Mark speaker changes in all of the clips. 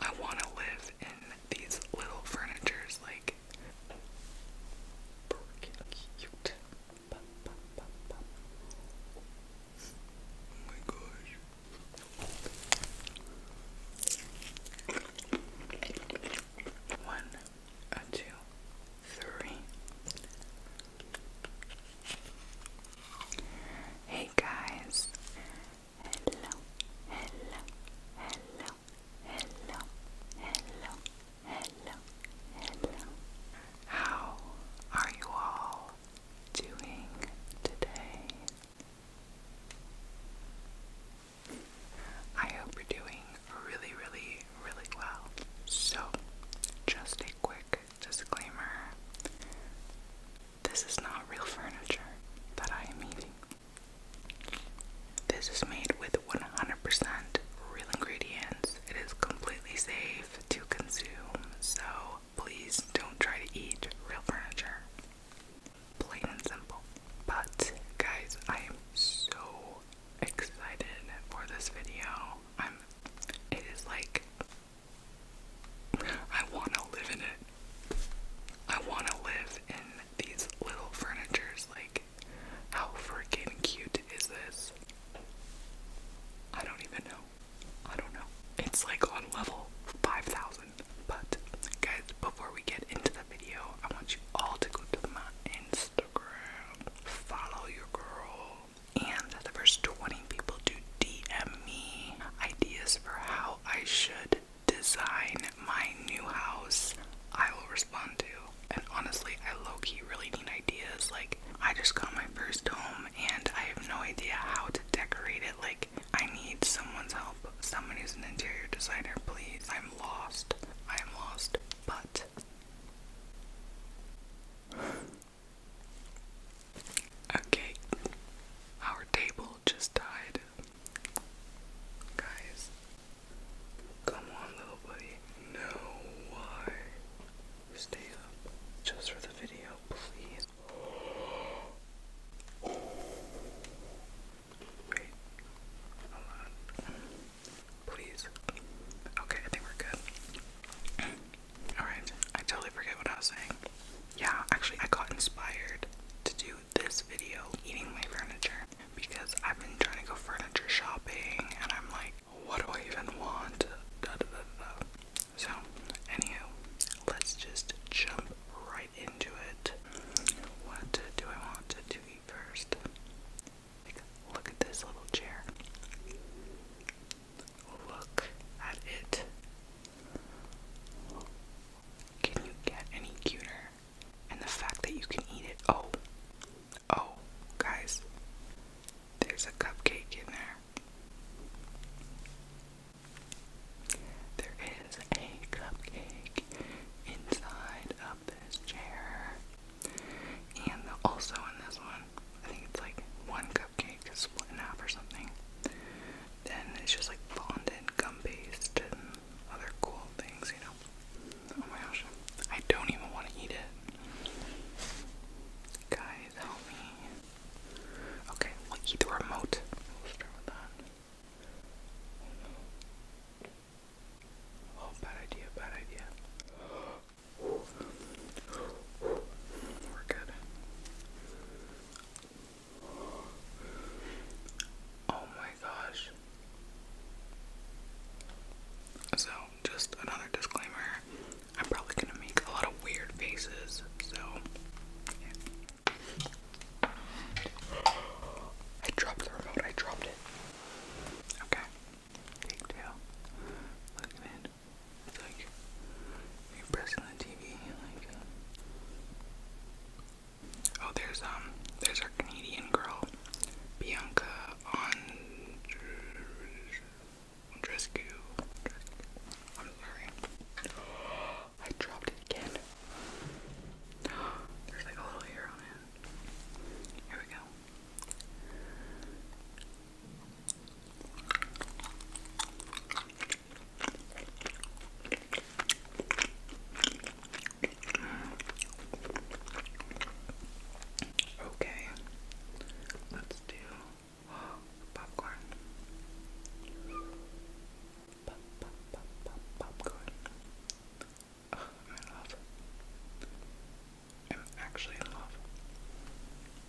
Speaker 1: I want to live in these little furnitures, like Oh my gosh. One, a two, three. Hey guys, hello, hello, hello, hello, hello, hello, hello. How are you all doing today? I hope you're doing really, really, really well. So, just a quick disclaimer this is not real furniture that I am eating. This is made with 100% real ingredients. It is completely safe to consume, so please don't try to eat real furniture. Plain and simple. But, guys, I am so excited for this video. I'm. It is like I want to live in it. I want to live in these little furnitures. Like, how freaking cute is this? I don't even know. I don't know. It's like on level 5000. But, guys, before we get into the video, I want you all to go to my Instagram, follow your girl, and the first 20 people to DM me ideas for how I should design my new house, I will respond to. And honestly, I low key really need ideas. Like, I just got my first home and I have no idea how to decorate it. Like, I need someone's help. Someone who's an interior designer, please. I'm lost. I am lost. But. Okay, our table just died. Guys, come on, little buddy. No, why? Stay up just for the video, please. Wait, hold on. Please. Okay, I think we're good. Alright, I totally forget what I was saying yeah, actually, I got inspired to do this video eating my furniture because I've been trying to go furniture shopping and I'm like, what do I even want? So, anywho, let's just jump right into it. What do I want to eat first? look at this little chair. Look at it. Can you get any cuter? And the fact that you can eat it. Oh, oh, guys, there's a cupcake in there. There is a cupcake inside of this chair. And also in this one, I think it's like one cupcake split in half or something. And it's just like fondant, gum paste, and other cool things, you know. Oh my gosh, I don't even want to eat it. Guys, help me. Okay, we'll eat the remote. We'll start with that. Oh, bad idea, bad idea. We're good. Oh my gosh. So, just another disclaimer I'm probably gonna make a lot of weird faces, so. I dropped the remote, I dropped it. Okay. Take two. Look it like you're pressing the TV, like. Uh, oh, there's um, there's our Canadian girl, Bianca Andrescu. i dropped it again. There's like a little hair on it. Here we go. Okay, let's do popcorn. Pop, pop, pop, pop, popcorn. i love. I'm actually love.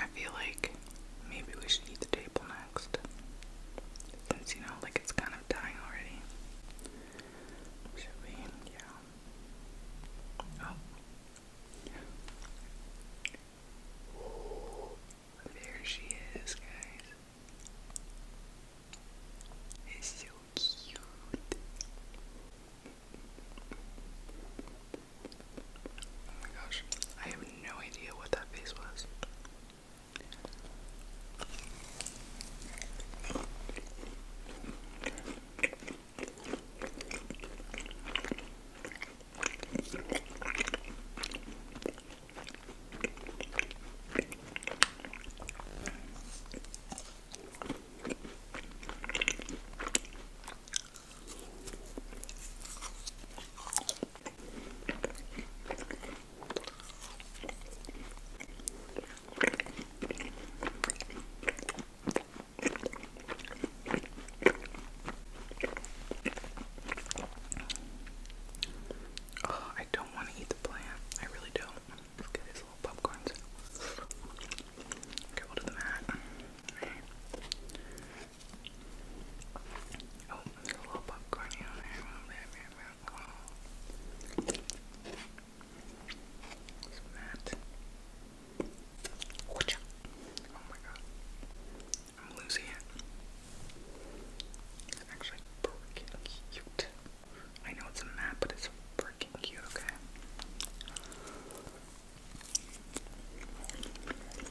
Speaker 1: I feel like maybe we should eat the table next. Since you know, like it's kind of dying already. Should we? Yeah. Oh. There she is, guys. It's so cute. Oh my gosh, I have no idea what that face was. Oh, I don't want to eat the plant. I really don't. get these little popcorns. Okay, we'll do the mat. Oh, little popcorn I'm losing it. It's actually freaking cute. I know it's a map, but it's freaking cute, okay?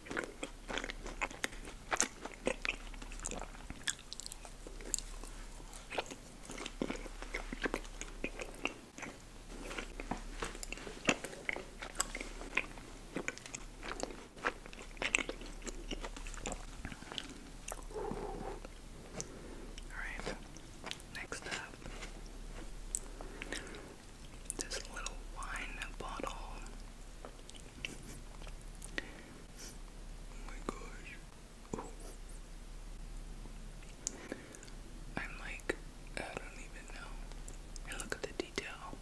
Speaker 1: Alright, next up this little wine bottle Oh my gosh. I'm like, I don't even know. And look at the detail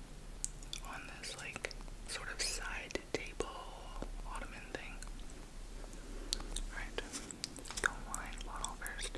Speaker 1: on this, like, sort of side table ottoman thing. Alright, go wine bottle first.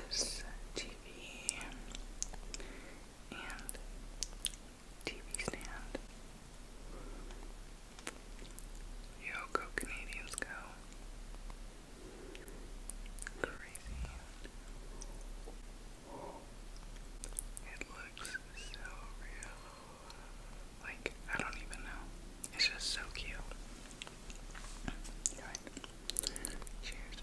Speaker 1: this uh, TV and TV stand. Yo, Canadians, go. Crazy. It looks so real. Like, I don't even know. It's just so cute. Right. Cheers.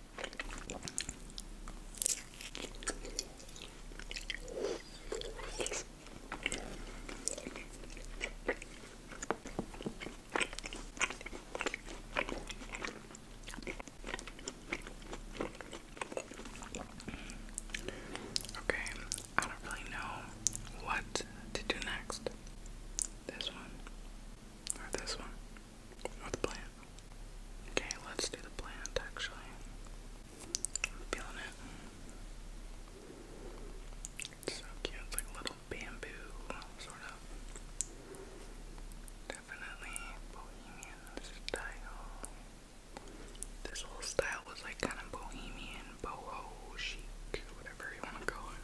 Speaker 1: Okay, I don't really know what to do next. This one or this one. Or the plant. Okay, let's do the plant actually. feeling it. It's so cute. It's like little bamboo, sort of. Definitely bohemian style. This whole style was like kind of bohemian, boho chic, whatever you want to call it.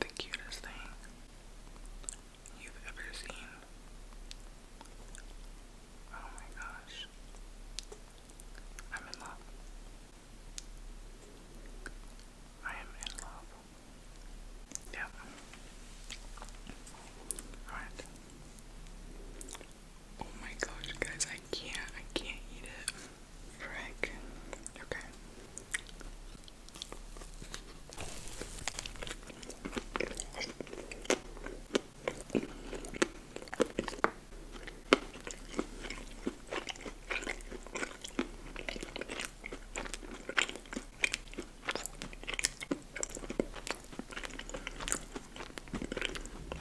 Speaker 1: the cutest thing you've ever seen. Oh my gosh. I'm in love. I am in love. Yep. Alright. Oh my gosh, guys, I can't, I can't eat it. Frick. Okay.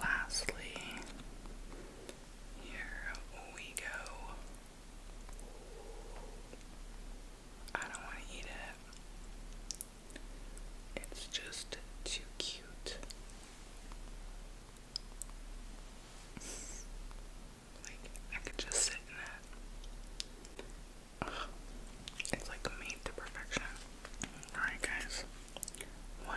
Speaker 1: Lastly, here we go. I don't want to eat it. It's just too cute. Like I could just sit in that. Ugh. It's like made to perfection. Alright, guys. One,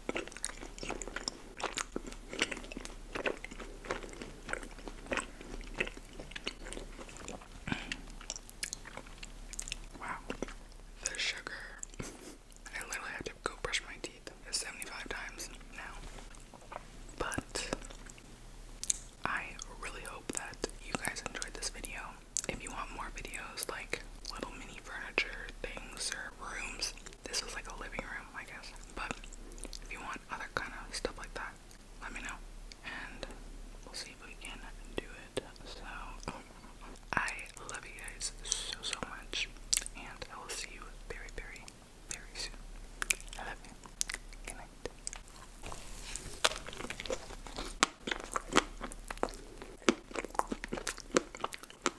Speaker 1: Wow. The sugar. I literally have to go brush my teeth 75 times now. But I really hope that you guys enjoyed this video. If you want more videos like little mini furniture things or rooms, this was like a living room, I guess. But if you want other kind of stuff like that, let me know. And we'll see if we can do it. So, I love you guys so, so much. And I will see you very, very, very soon. I love you. Good night.